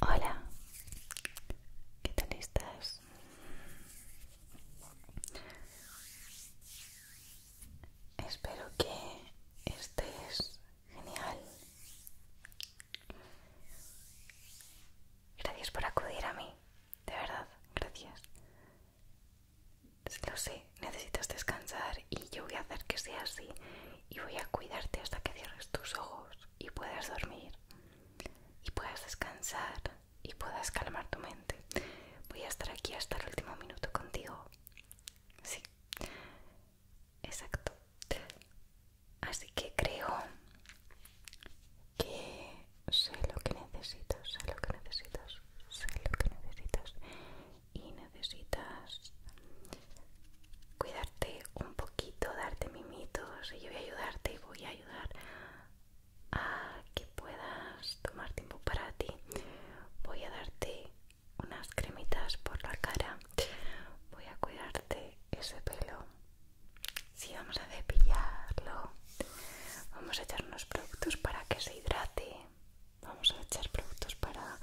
Hola, ¿qué tal estás? Espero que estés genial. Gracias por acudir a mí, de verdad, gracias lo sé, necesitas descansar y yo voy a hacer que sea así y voy a cuidarte hasta que cierres tus ojos y puedas dormir y puedas descansar y puedas calmar tu mente. Voy a estar aquí hasta el último minuto contigo. Sí, exacto. Así que creo que sé lo que necesitas, sé lo que necesitas, sé lo que necesitas y necesitas cuidarte un poquito, darte mimitos y yo voy a ayudarte y voy a ayudar a que puedas tomar tiempo para ti. Voy a darte unas cremitas por la cara. Voy a cuidarte ese pelo. Si vamos a cepillarlo. Vamos a echar unos productos para que se hidrate vamos a echar productos para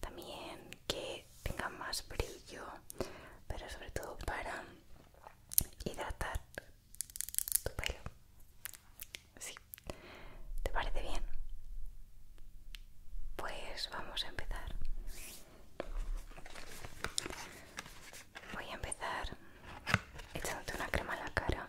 también que tengan más brillo pero sobre todo para hidratar tu pelo sí. ¿te parece bien? pues vamos a empezar voy a empezar echándote una crema a la cara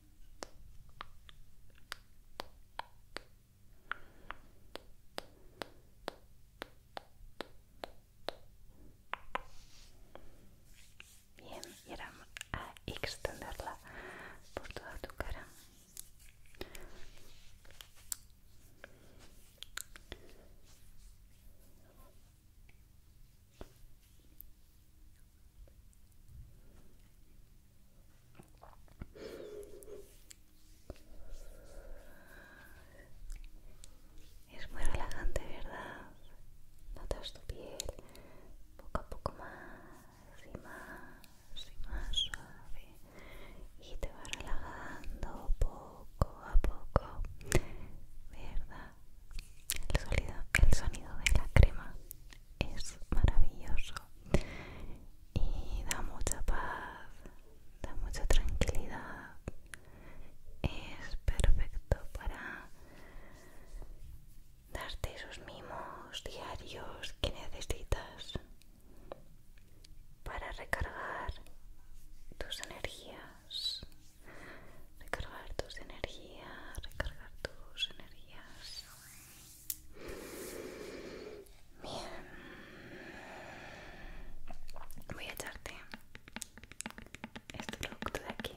Bien, y a extenderla por toda tu cara. Es muy relajante, ¿verdad? Notas tu piel poco a poco más y más y más suave y te va relajando poco a poco, ¿verdad? El, el sonido de la crema es maravilloso y da mucha paz, da mucha tranquilidad. Es perfecto para darte esos mimos diarios que necesitas para recargar tus energías, recargar tus energías, recargar tus energías. Bien, voy a echarte este producto de aquí.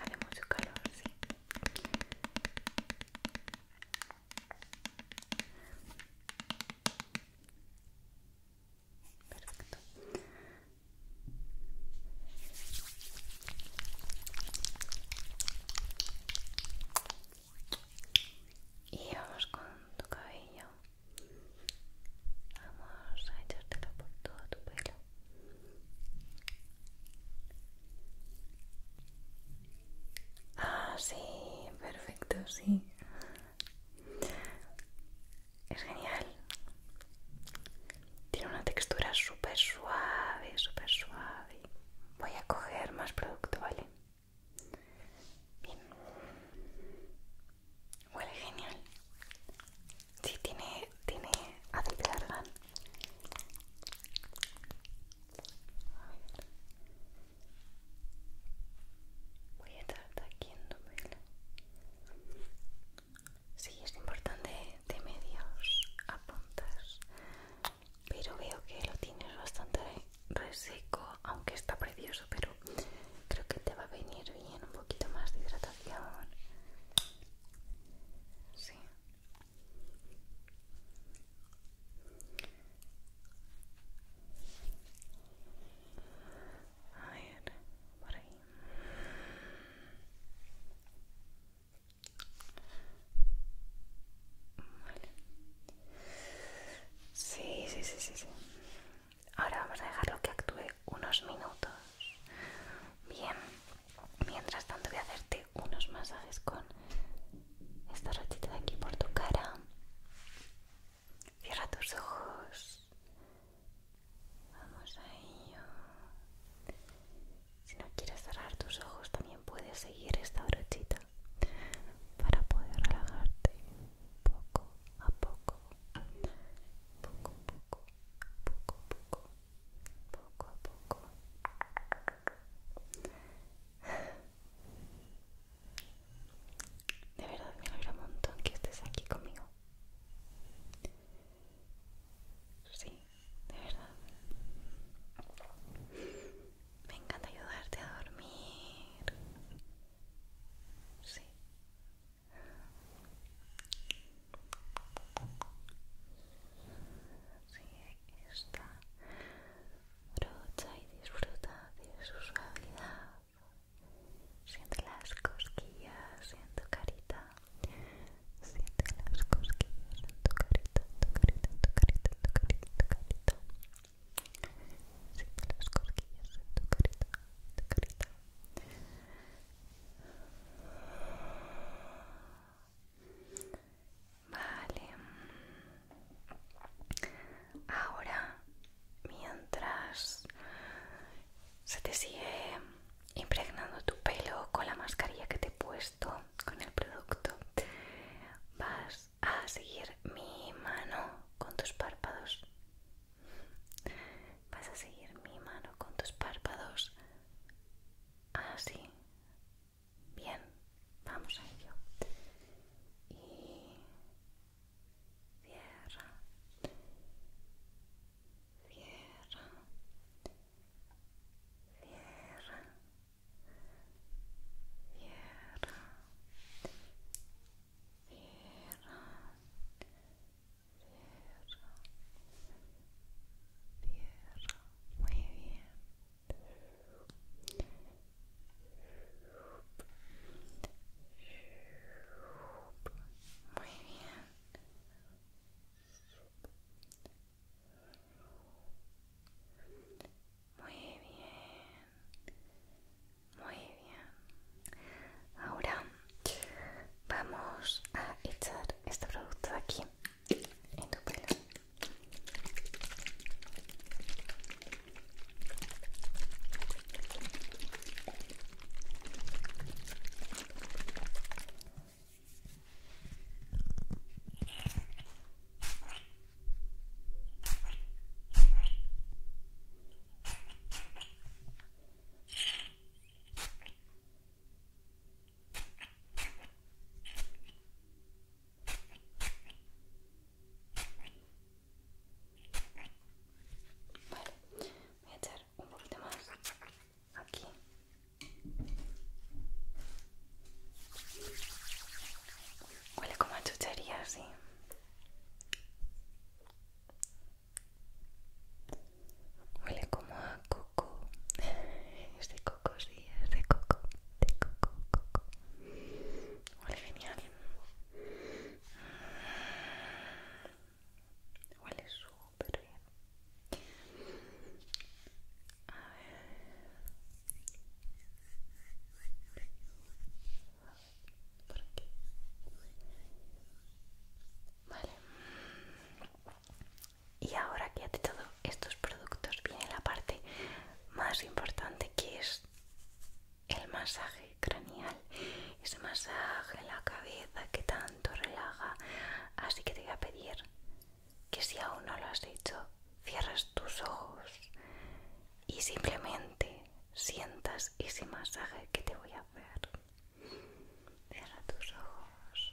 Haremos mucho calor, sí. Perfecto. Y vamos con tu cabello. Vamos a echártelo por todo tu pelo. Ah, sí, perfecto, sí. Es genial. Tiene una textura súper suave, súper suave. Voy a coger más producto, ¿vale? Bien. Huele genial. si tiene, tiene a Voy a estar aquí si es importante de medios a puntas, pero veo que lo tienes bastante reseco, aunque está precioso, pero creo que te va a venir bien un poquito más de hidratación. Sí. A ver, por ahí. Sí, sí, sí, sí, sí. Ahora vamos a dejarlo que actúe unos minutos. Bien, mientras tanto voy a hacerte unos masajes con esta brochita de aquí por tu cara. Cierra tus ojos. Vamos a ello. Si no quieres cerrar tus ojos, también puedes seguir esta brochita para poder relajarte poco a poco poco, poco, poco, poco, poco a poco. De verdad me alegra un montón que estés aquí conmigo. Sí, de verdad. Me encanta ayudarte a dormir. Sí, Sigue esta brocha y disfruta de su suavidad. Siente las cosquillas en tu carita. Siente las cosquillas en tu carita, tu carita, tu carita, tu carita. Siente las cosquillas en carita, tu carita. Vale. Ahora, mientras se te sigue impregnando tu pelo con la mascarilla que te he puesto, con el producto, vas a seguir mi mano con tus párpados. Vas a seguir mi mano con tus párpados. Así. Bien, vamos a ello. Y cierra. Cierra. Cierra. Cierra cierra, muy bien. Muy bien. Muy bien muy bien ahora vamos a echar este producto aquí en tu pelo Vale, voy a echar un poquito más aquí. Huele como a chuchería, sí. Huele como a coco. este de coco, sí, es de coco. De coco, coco. Huele genial. Huele súper bien. A y ahora que has hecho estos productos viene la parte más importante que es el masaje craneal ese masaje en la cabeza que tanto relaja así que te voy a pedir que si aún no lo has hecho cierras tus ojos y simplemente sientas ese masaje que te voy a hacer. Cierra tus ojos.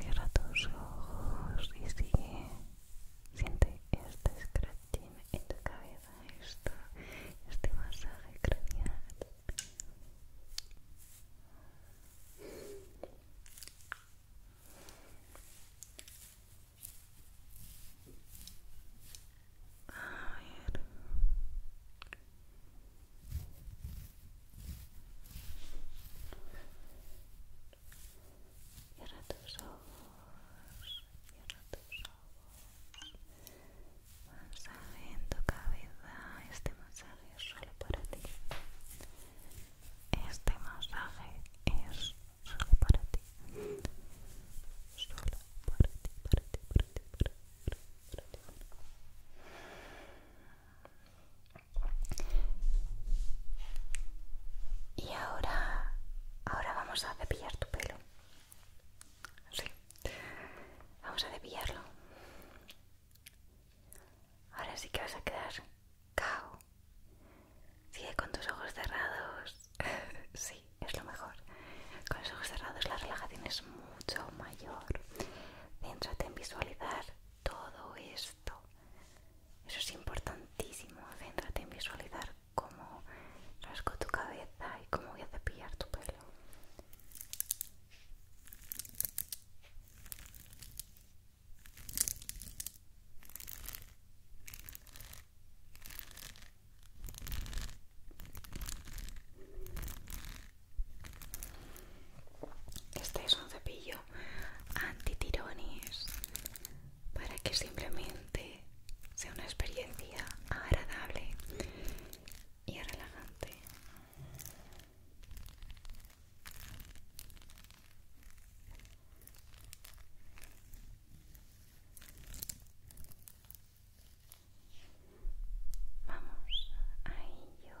Cierra tus ojos y sigue. Siente este scratching en tu cabeza, este masaje craneal. Cierra tus ojos, cierra tus ojos. Masaje en tu cabeza. Este masaje es solo para ti. Este masaje es solo para ti. Solo para ti, para ti, para ti, para ti. Para ti. Y ahora, ahora vamos a cepillar tu pelo. Sí, vamos a cepillarlo. Ahora sí que vas a quedar cao. Sigue con tus ojos cerrados. sí, es lo mejor. Con los ojos cerrados la relajación es mucho mayor. Céntrate en visualizar todo esto. Eso es importantísimo. Céntrate en visualizar cómo rasco tu cabeza y cómo voy a cepillar tu pelo. Este es un cepillo antitirones para que simplemente sea una experiencia agradable y relajante. Vamos a ello.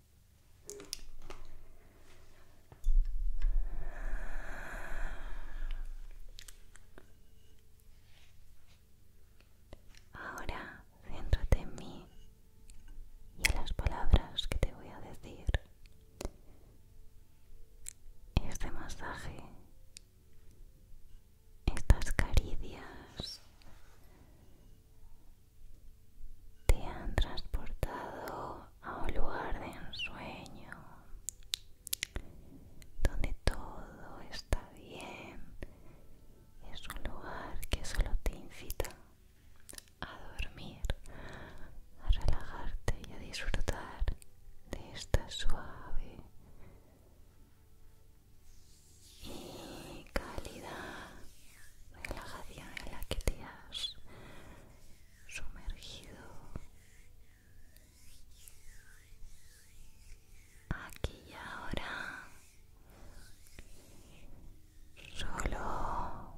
Ahora céntrate en mí y en las palabras que te voy a decir. Este masaje, estas caricias, te han transportado a un lugar de ensueño donde todo está bien es un lugar que solo te invita a dormir a relajarte y a disfrutar de esta suave y calidad, relajación en la que te has sumergido aquí y ahora solo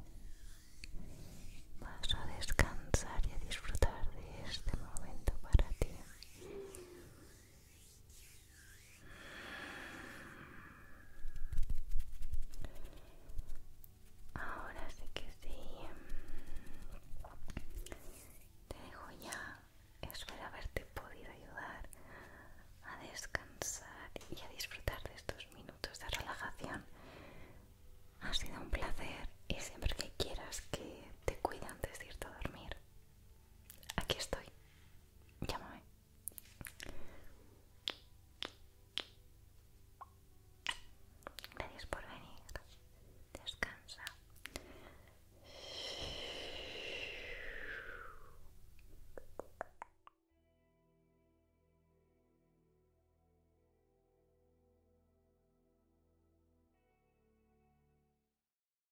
vas a descansar y a disfrutar de este momento para ti Ahora sí que sí. Te dejo ya. Espero haberte podido ayudar a descansar y a disfrutar de estos minutos de relajación. Ha sido un placer y siempre que quieras que te cuide antes de irte a dormir, aquí estoy. Llámame. Gracias por venir. Descansa.